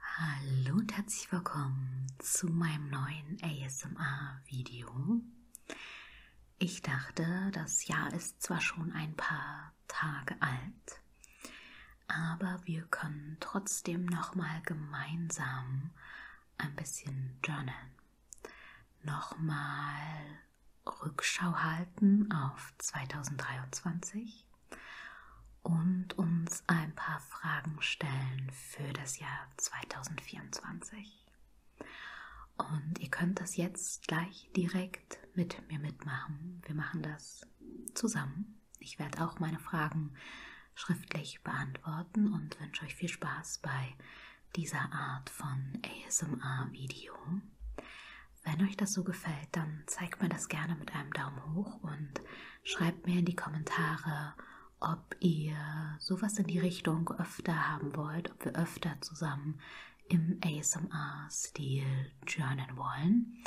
Hallo und herzlich willkommen zu meinem neuen ASMR-Video. Ich dachte, das Jahr ist zwar schon ein paar Tage alt, aber wir können trotzdem nochmal gemeinsam ein bisschen journalen. Nochmal Rückschau halten auf 2023 und uns ein paar Fragen stellen für das Jahr 2024. Und ihr könnt das jetzt gleich direkt mit mir mitmachen. Wir machen das zusammen. Ich werde auch meine Fragen schriftlich beantworten und wünsche euch viel Spaß bei dieser Art von ASMR-Video. Wenn euch das so gefällt, dann zeigt mir das gerne mit einem Daumen hoch und Schreibt mir in die Kommentare, ob ihr sowas in die Richtung öfter haben wollt, ob wir öfter zusammen im ASMR-Stil journalen wollen.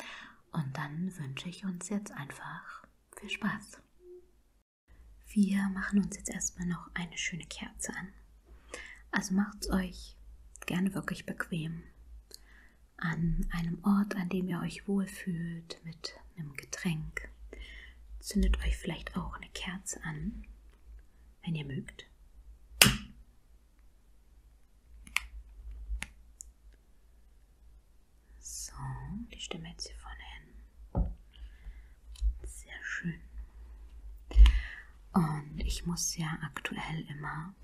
Und dann wünsche ich uns jetzt einfach viel Spaß. Wir machen uns jetzt erstmal noch eine schöne Kerze an. Also macht's euch gerne wirklich bequem an einem Ort, an dem ihr euch wohlfühlt, mit einem Getränk. Zündet euch vielleicht auch eine Kerze an, wenn ihr mögt. So, die Stimme jetzt hier vorne hin. Sehr schön. Und ich muss ja aktuell immer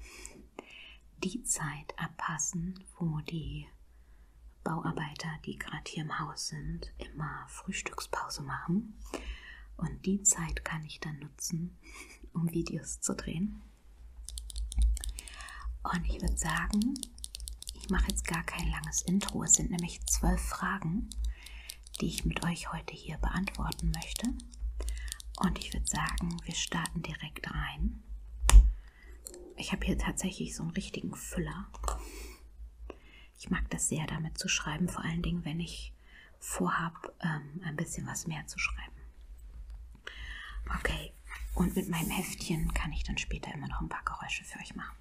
die Zeit abpassen, wo die Bauarbeiter, die gerade hier im Haus sind, immer Frühstückspause machen. Und die Zeit kann ich dann nutzen, um Videos zu drehen. Und ich würde sagen, ich mache jetzt gar kein langes Intro. Es sind nämlich zwölf Fragen, die ich mit euch heute hier beantworten möchte. Und ich würde sagen, wir starten direkt rein. Ich habe hier tatsächlich so einen richtigen Füller. Ich mag das sehr, damit zu schreiben, vor allen Dingen, wenn ich vorhabe, ähm, ein bisschen was mehr zu schreiben. Okay, und mit meinem Heftchen kann ich dann später immer noch ein paar Geräusche für euch machen.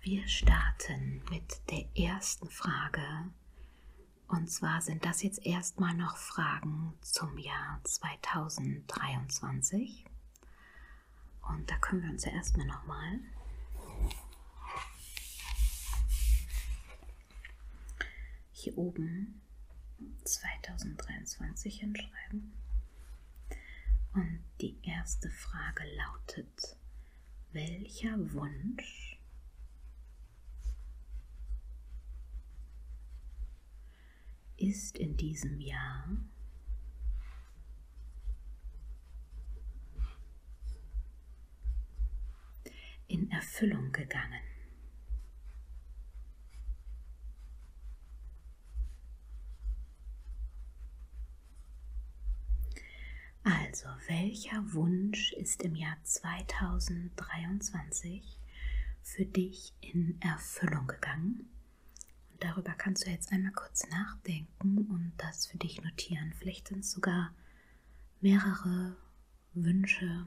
Wir starten mit der ersten Frage. Und zwar sind das jetzt erstmal noch Fragen zum Jahr 2023 wichtig. Und da können wir uns ja erstmal nochmal hier oben 2023 hinschreiben. Und die erste Frage lautet, welcher Wunsch ist in diesem Jahr in Erfüllung gegangen. Also, welcher Wunsch ist im Jahr 2023 für dich in Erfüllung gegangen? Und darüber kannst du jetzt einmal kurz nachdenken und das für dich notieren. Vielleicht sind es sogar mehrere Wünsche.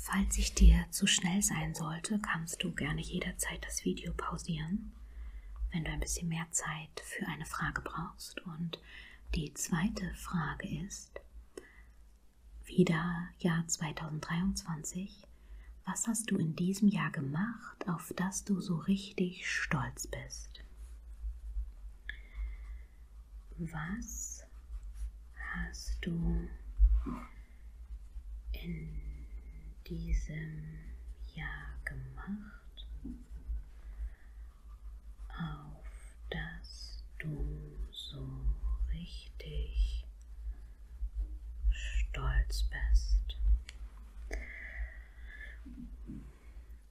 Falls ich dir zu schnell sein sollte, kannst du gerne jederzeit das Video pausieren, wenn du ein bisschen mehr Zeit für eine Frage brauchst. Und die zweite Frage ist, wieder Jahr 2023. Was hast du in diesem Jahr gemacht, auf das du so richtig stolz bist? Was hast du in diesem Jahr gemacht, auf dass du so richtig stolz bist.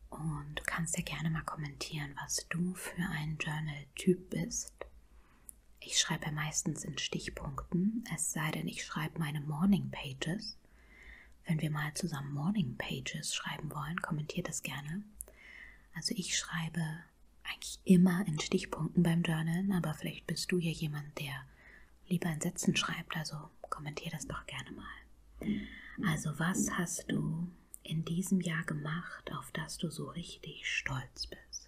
Und kannst dir gerne mal kommentieren, was du für ein Journal-Typ bist. Ich schreibe meistens in Stichpunkten, es sei denn, ich schreibe meine Morning Pages. Wenn wir mal zusammen Morning Pages schreiben wollen, kommentiert das gerne. Also ich schreibe eigentlich immer in Stichpunkten beim Journalen, aber vielleicht bist du ja jemand, der lieber in Sätzen schreibt, also kommentier das doch gerne mal. Also was hast du in diesem Jahr gemacht, auf das du so richtig stolz bist?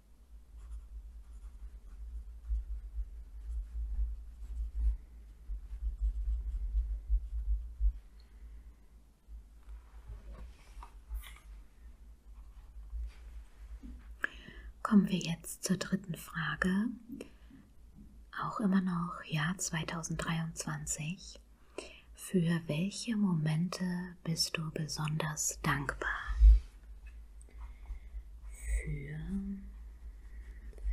Kommen wir jetzt zur dritten Frage. Auch immer noch Jahr 2023. Für welche Momente bist du besonders dankbar? für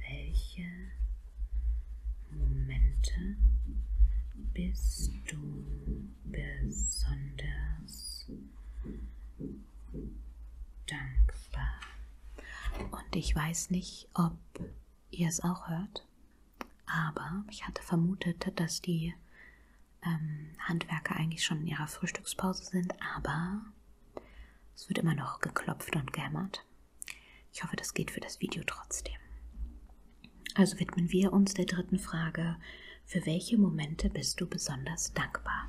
welche Momente bist du besonders dankbar? Und ich weiß nicht, ob ihr es auch hört, aber ich hatte vermutet, dass die ähm, Handwerker eigentlich schon in ihrer Frühstückspause sind, aber es wird immer noch geklopft und gehämmert. Ich hoffe, das geht für das Video trotzdem. Also widmen wir uns der dritten Frage. Für welche Momente bist du besonders dankbar?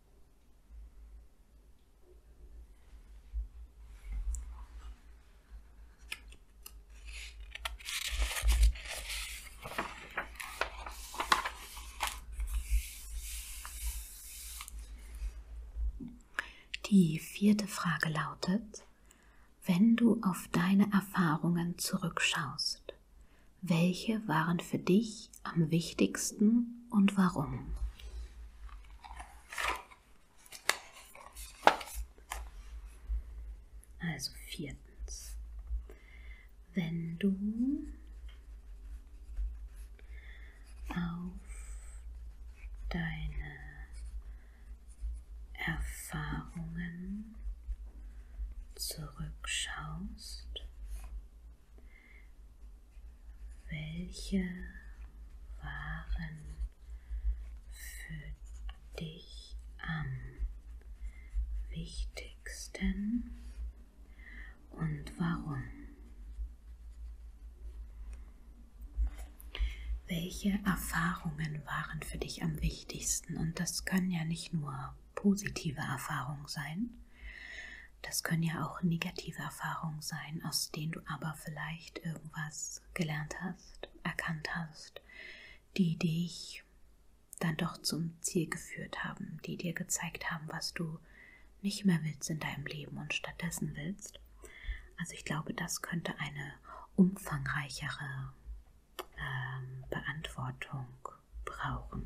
Die vierte Frage lautet, wenn du auf deine Erfahrungen zurückschaust, welche waren für dich am wichtigsten und warum? Also viertens, wenn du auf deine Erfahrungen zurückschaust, welche waren für dich am wichtigsten und warum? Welche Erfahrungen waren für dich am wichtigsten? Und das können ja nicht nur positive Erfahrungen sein, das können ja auch negative Erfahrungen sein, aus denen du aber vielleicht irgendwas gelernt hast, erkannt hast, die dich dann doch zum Ziel geführt haben, die dir gezeigt haben, was du nicht mehr willst in deinem Leben und stattdessen willst. Also ich glaube, das könnte eine umfangreichere ähm, Beantwortung brauchen.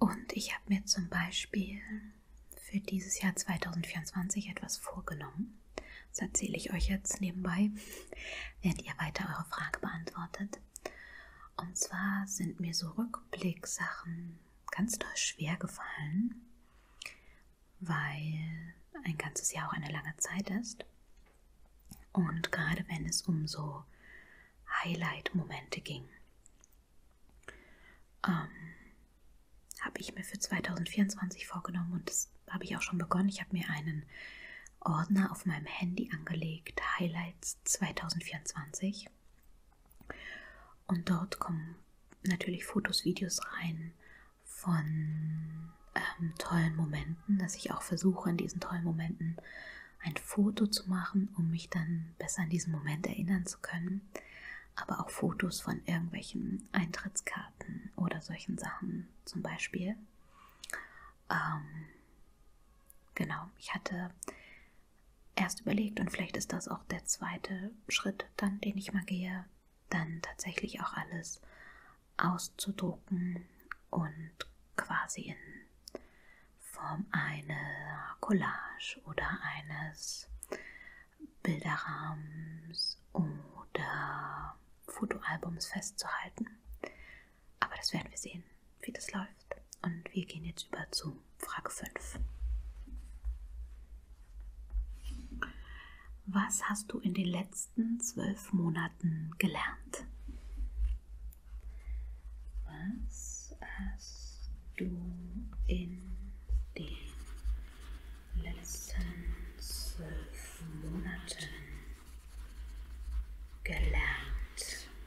Und ich habe mir zum Beispiel für dieses Jahr 2024 etwas vorgenommen. Das erzähle ich euch jetzt nebenbei, während ihr weiter eure Frage beantwortet. Und zwar sind mir so Rückblicksachen ganz doll schwer gefallen, weil ein ganzes Jahr auch eine lange Zeit ist. Und gerade wenn es um so Highlight-Momente ging, ähm, habe ich mir für 2024 vorgenommen und das habe ich auch schon begonnen. Ich habe mir einen Ordner auf meinem Handy angelegt, Highlights 2024. Und dort kommen natürlich Fotos, Videos rein von ähm, tollen Momenten, dass ich auch versuche, in diesen tollen Momenten ein Foto zu machen, um mich dann besser an diesen Moment erinnern zu können. Aber auch Fotos von irgendwelchen Eintrittskarten oder solchen Sachen zum Beispiel. Ähm, genau, ich hatte erst überlegt und vielleicht ist das auch der zweite Schritt dann, den ich mal gehe, dann tatsächlich auch alles auszudrucken und quasi in Form einer Collage oder eines Bilderrahmens oder Fotoalbums festzuhalten. Aber das werden wir sehen wie das läuft. Und wir gehen jetzt über zu Frage 5. Was hast du in den letzten zwölf Monaten gelernt? Was hast du in den letzten zwölf Monaten gelernt?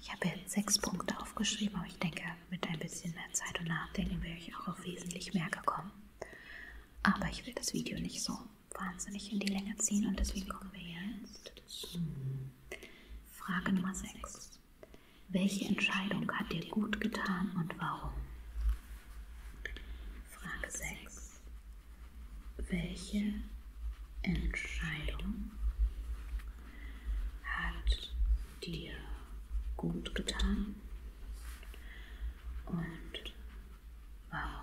Ich habe jetzt sechs Punkte aufgeschrieben, aber ich denke, mit ein bisschen mehr Zeit und Nachdenken wäre ich auch auf wesentlich mehr gekommen. Aber ich will das Video nicht so wahnsinnig in die Länge ziehen und deswegen kommen wir jetzt zu Frage Nummer 6. Welche Entscheidung hat dir gut getan und warum? Frage 6 welche Entscheidung hat dir gut getan und warum?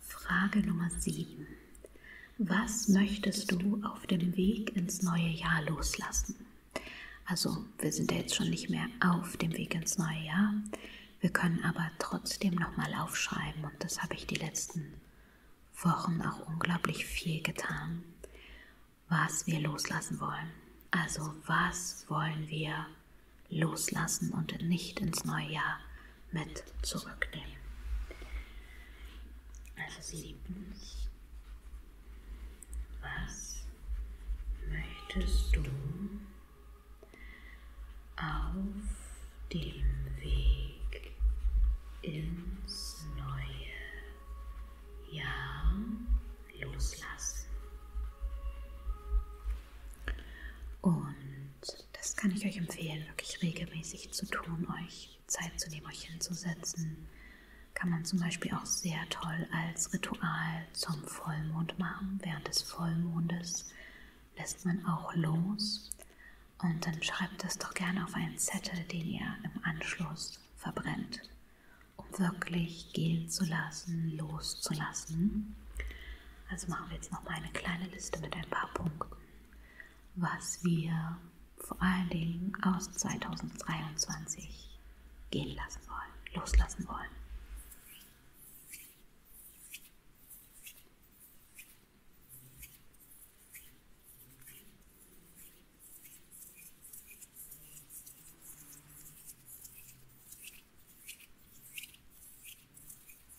Frage Nummer 7. Was möchtest du auf dem Weg ins neue Jahr loslassen? Also, wir sind ja jetzt schon nicht mehr auf dem Weg ins neue Jahr. Wir können aber trotzdem nochmal aufschreiben und das habe ich die letzten Wochen auch unglaublich viel getan, was wir loslassen wollen. Also, was wollen wir loslassen und nicht ins neue Jahr mit zurücknehmen. Also siebtens, was möchtest du auf dem Weg ins neue Jahr loslassen? Und das kann ich euch empfehlen, wirklich regelmäßig zu tun, euch Zeit zu nehmen, euch hinzusetzen. Kann man zum Beispiel auch sehr toll als Ritual zum Vollmond machen. Während des Vollmondes lässt man auch los und dann schreibt das doch gerne auf einen Zettel, den ihr im Anschluss verbrennt, um wirklich gehen zu lassen, loszulassen. Also machen wir jetzt noch mal eine kleine Liste mit ein paar Punkten was wir vor allen Dingen aus 2023 gehen lassen wollen, loslassen wollen.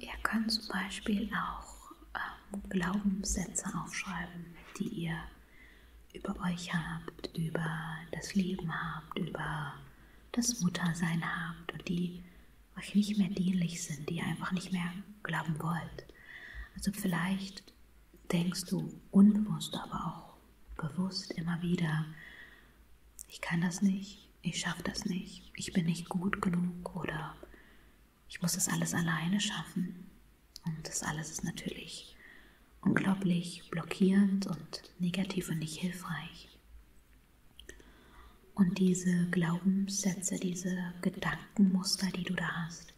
Ihr könnt zum Beispiel auch ähm, Glaubenssätze aufschreiben, die ihr über euch habt, über das Leben habt, über das Muttersein habt und die euch nicht mehr dienlich sind, die ihr einfach nicht mehr glauben wollt. Also vielleicht denkst du unbewusst, aber auch bewusst immer wieder, ich kann das nicht, ich schaffe das nicht, ich bin nicht gut genug oder ich muss das alles alleine schaffen. Und das alles ist natürlich unglaublich blockierend und negativ und nicht hilfreich. Und diese Glaubenssätze, diese Gedankenmuster, die du da hast,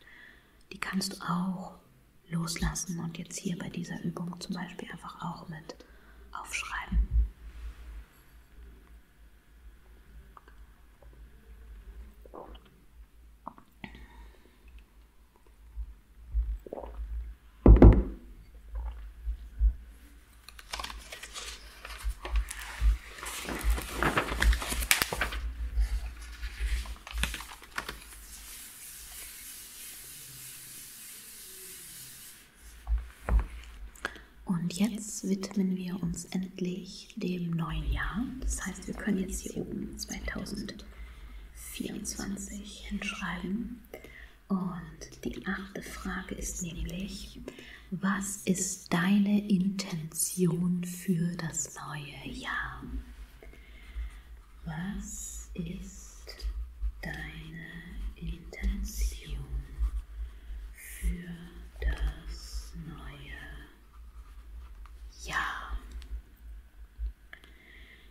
die kannst du auch loslassen und jetzt hier bei dieser Übung zum Beispiel einfach auch mit aufschreiben. Und jetzt widmen wir uns endlich dem neuen Jahr. Das heißt, wir können jetzt hier oben 2024 hinschreiben. Und die achte Frage ist nämlich, was ist deine Intention für das neue Jahr? Was ist deine Intention für das neue Jahr?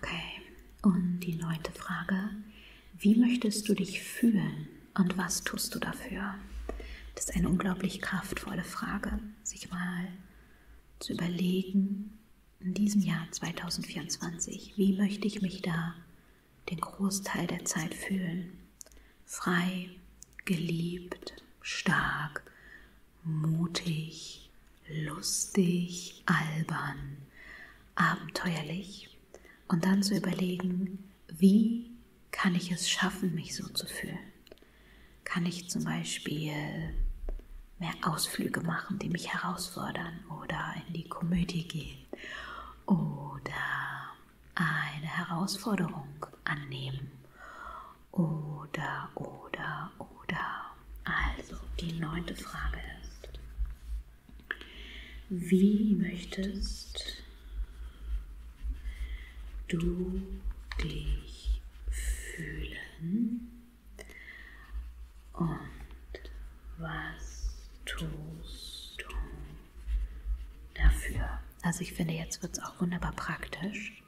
Okay, und die neunte Frage. Wie möchtest du dich fühlen und was tust du dafür? Das ist eine unglaublich kraftvolle Frage, sich mal zu überlegen, in diesem Jahr 2024, wie möchte ich mich da den Großteil der Zeit fühlen? frei, geliebt, stark, mutig, lustig, albern, abenteuerlich und dann zu überlegen, wie kann ich es schaffen, mich so zu fühlen? Kann ich zum Beispiel mehr Ausflüge machen, die mich herausfordern oder in die Komödie gehen oder eine Herausforderung annehmen. Oder, oder, oder. Also, die neunte Frage ist, wie möchtest du dich fühlen? Und was tust du dafür? Also ich finde, jetzt wird es auch wunderbar praktisch,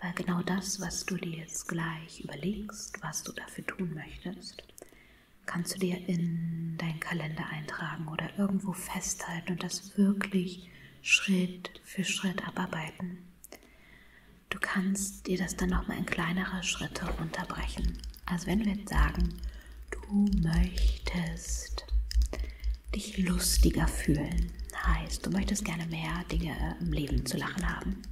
weil genau das, was du dir jetzt gleich überlegst, was du dafür tun möchtest, kannst du dir in deinen Kalender eintragen oder irgendwo festhalten und das wirklich Schritt für Schritt abarbeiten. Du kannst dir das dann nochmal in kleinere Schritte unterbrechen. Also wenn wir jetzt sagen, du möchtest dich lustiger fühlen. Heißt, du möchtest gerne mehr Dinge im Leben zu lachen haben.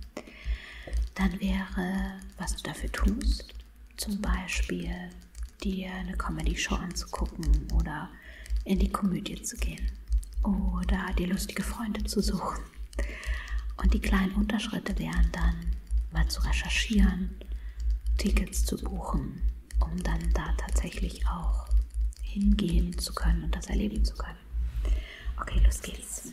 Dann wäre, was du dafür tust, zum Beispiel dir eine Comedy-Show anzugucken oder in die Komödie zu gehen oder dir lustige Freunde zu suchen. Und die kleinen Unterschritte wären dann, mal zu recherchieren, Tickets zu buchen, um dann da tatsächlich auch hingehen zu können und das erleben zu können. Okay, los geht's.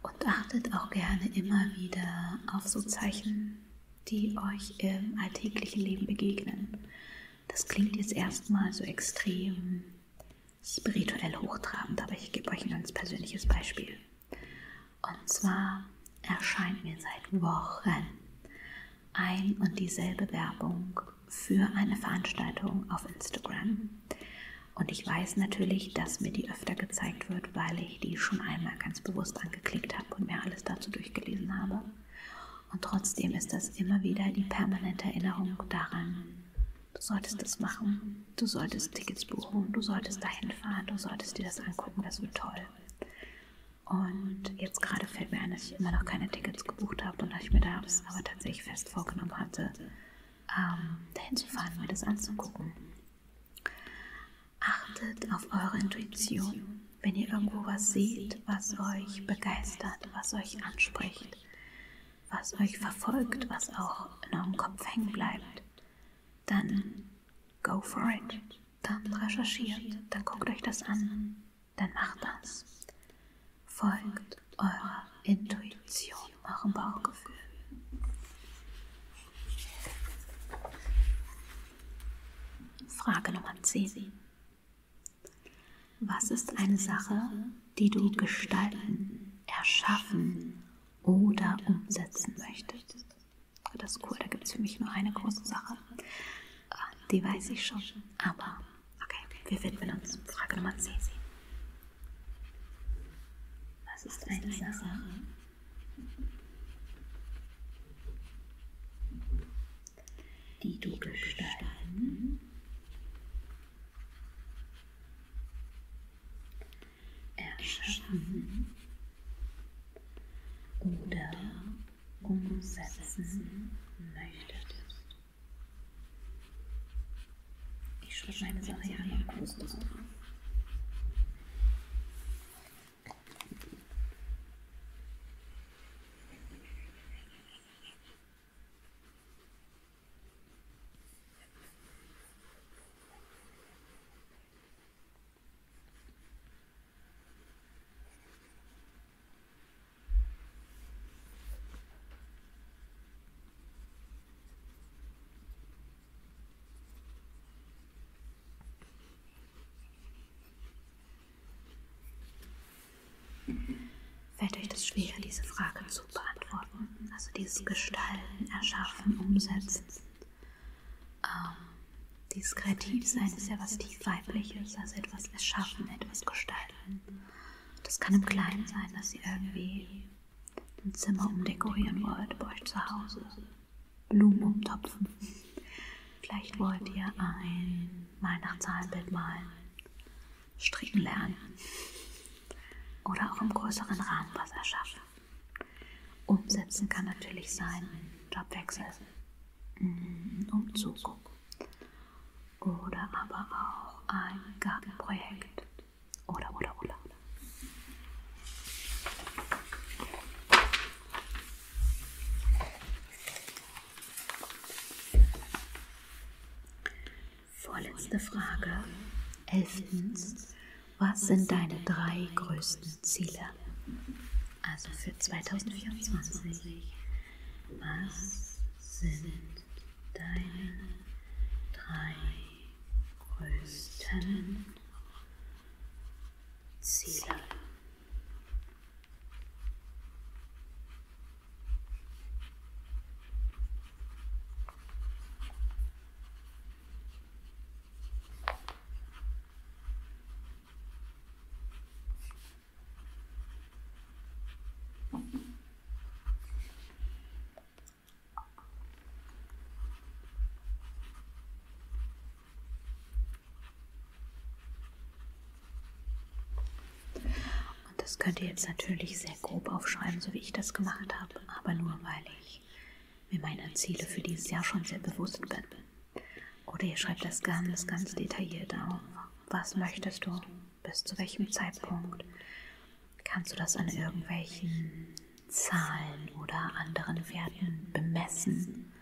Und achtet auch gerne immer wieder auf so Zeichen, die euch im alltäglichen Leben begegnen. Das klingt jetzt erstmal so extrem spirituell hochtrabend, aber ich gebe euch ein ganz persönliches Beispiel. Und zwar erscheint mir seit Wochen ein und dieselbe Werbung für eine Veranstaltung auf Instagram. Und ich weiß natürlich, dass mir die öfter gezeigt wird, weil ich die schon einmal ganz bewusst angeklickt habe und mir alles dazu durchgelesen habe. Und trotzdem ist das immer wieder die permanente Erinnerung daran, du solltest das machen, du solltest Tickets buchen, du solltest dahin fahren, du solltest dir das angucken, das wird toll. Und jetzt gerade fällt mir ein, dass ich immer noch keine Tickets gebucht habe und dass ich mir da das aber tatsächlich fest vorgenommen hatte, ähm, dahin zu fahren, mir das anzugucken. Achtet auf eure Intuition. Wenn ihr irgendwo was seht, was euch begeistert, was euch anspricht, was euch verfolgt, was auch in eurem Kopf hängen bleibt, dann Go for it. Dann recherchiert, dann guckt euch das an, dann macht das. Folgt eurer Intuition, eurem Bauchgefühl. Frage Nummer 10. Was ist eine Sache, die du gestalten, erschaffen oder umsetzen möchtest. Das ist cool, da gibt es für mich nur eine große Sache. Die weiß ich schon, aber okay, wir widmen uns Frage Nummer 10. Was ist eine Sache? die du gestalten erschaffen oder umsetzen möchtest. Ich schreibe meine Sache hier einmal kurz drauf. Fällt euch das schwer, diese Frage zu beantworten, also dieses Gestalten, Erschaffen, Umsetzen? Ähm, dieses Kreativsein ist ja was tief weibliches, also etwas erschaffen, etwas gestalten. Das kann im Kleinen sein, dass ihr irgendwie ein Zimmer umdekorieren wollt bei euch zu Hause, Blumen umtopfen. Vielleicht wollt ihr ein Weihnachtszahnbild malen, stricken lernen oder auch im größeren Rahmen was erschaffen schaffen. Umsetzen kann natürlich sein Jobwechsel, mm, Umzug oder aber auch ein Gartenprojekt oder oder oder. Vorletzte Frage. Elftens, was sind deine drei größten Ziele? Also für 2024. Was sind deine drei größten Ziele? Und das könnt ihr jetzt natürlich sehr grob aufschreiben, so wie ich das gemacht habe, aber nur weil ich ich mir meine Ziele für dieses Jahr schon sehr bewusst bin. Oder ihr schreibt das ganz, ganz detailliert auf. Was möchtest du? Bis zu welchem Zeitpunkt? Kannst du das an irgendwelchen Zahlen oder anderen Werten bemessen?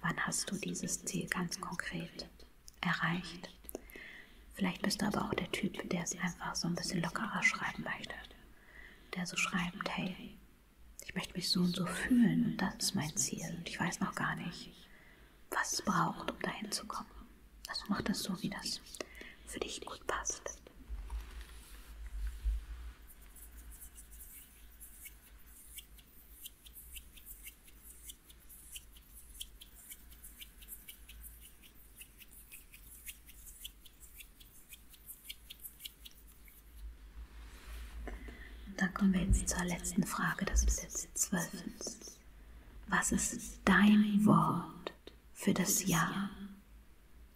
Wann hast du dieses Ziel ganz konkret erreicht? Vielleicht bist du aber auch der Typ, der es einfach so ein bisschen lockerer schreiben möchte. Der so schreibt, hey, ich möchte mich so und so fühlen und das ist mein Ziel und ich weiß noch gar nicht, was es braucht, um dahin zu kommen. Also mach das so, wie das für dich gut passt. Dann kommen wir jetzt zur letzten Frage des Besitzwölfens. Was ist dein Wort für das Jahr,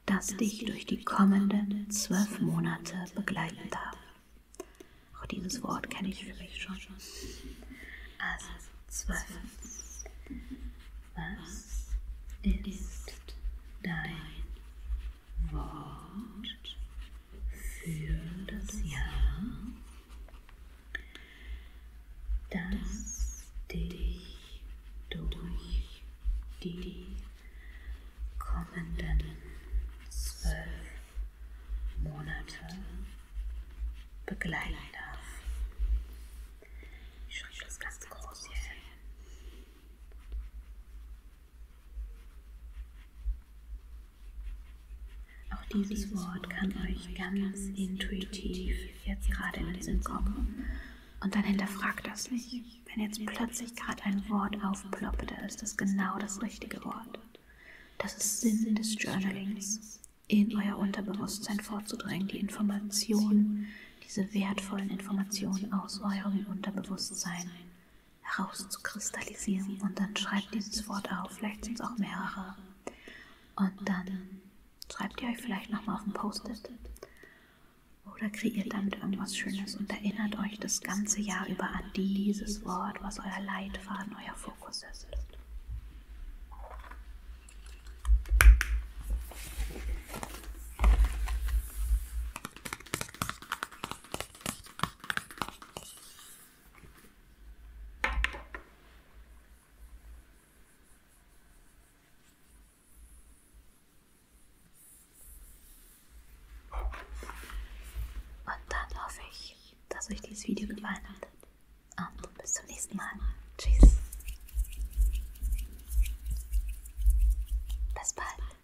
das dich durch die kommenden zwölf Monate begleiten darf? Auch dieses Wort kenne ich für mich schon. Also zwölf. Was ist dein Wort für das Jahr, das dich durch die kommenden zwölf Monate begleiten darf. Ich schreibe das ganz groß hier hin. Auch dieses Wort kann euch ganz intuitiv jetzt gerade in den Sinn kommen. Und dann hinterfragt das nicht. Wenn jetzt plötzlich gerade ein Wort aufploppt, dann ist das genau, genau das richtige Wort. Das ist Sinn des Journalings, in euer Unterbewusstsein vorzudrängen, die Informationen, diese wertvollen Informationen aus eurem Unterbewusstsein herauszukristallisieren und dann schreibt dieses Wort auf, vielleicht sind es auch mehrere. Und dann schreibt ihr euch vielleicht nochmal auf ein Post-it oder kreiert damit irgendwas Schönes und erinnert euch das ganze Jahr über an dieses Wort, was euer Leitfaden, euer Fokus ist. Und dann hoffe ich, dass euch dieses Video gefallen hat. Und bis zum nächsten Mal. Tschüss. Bis bald.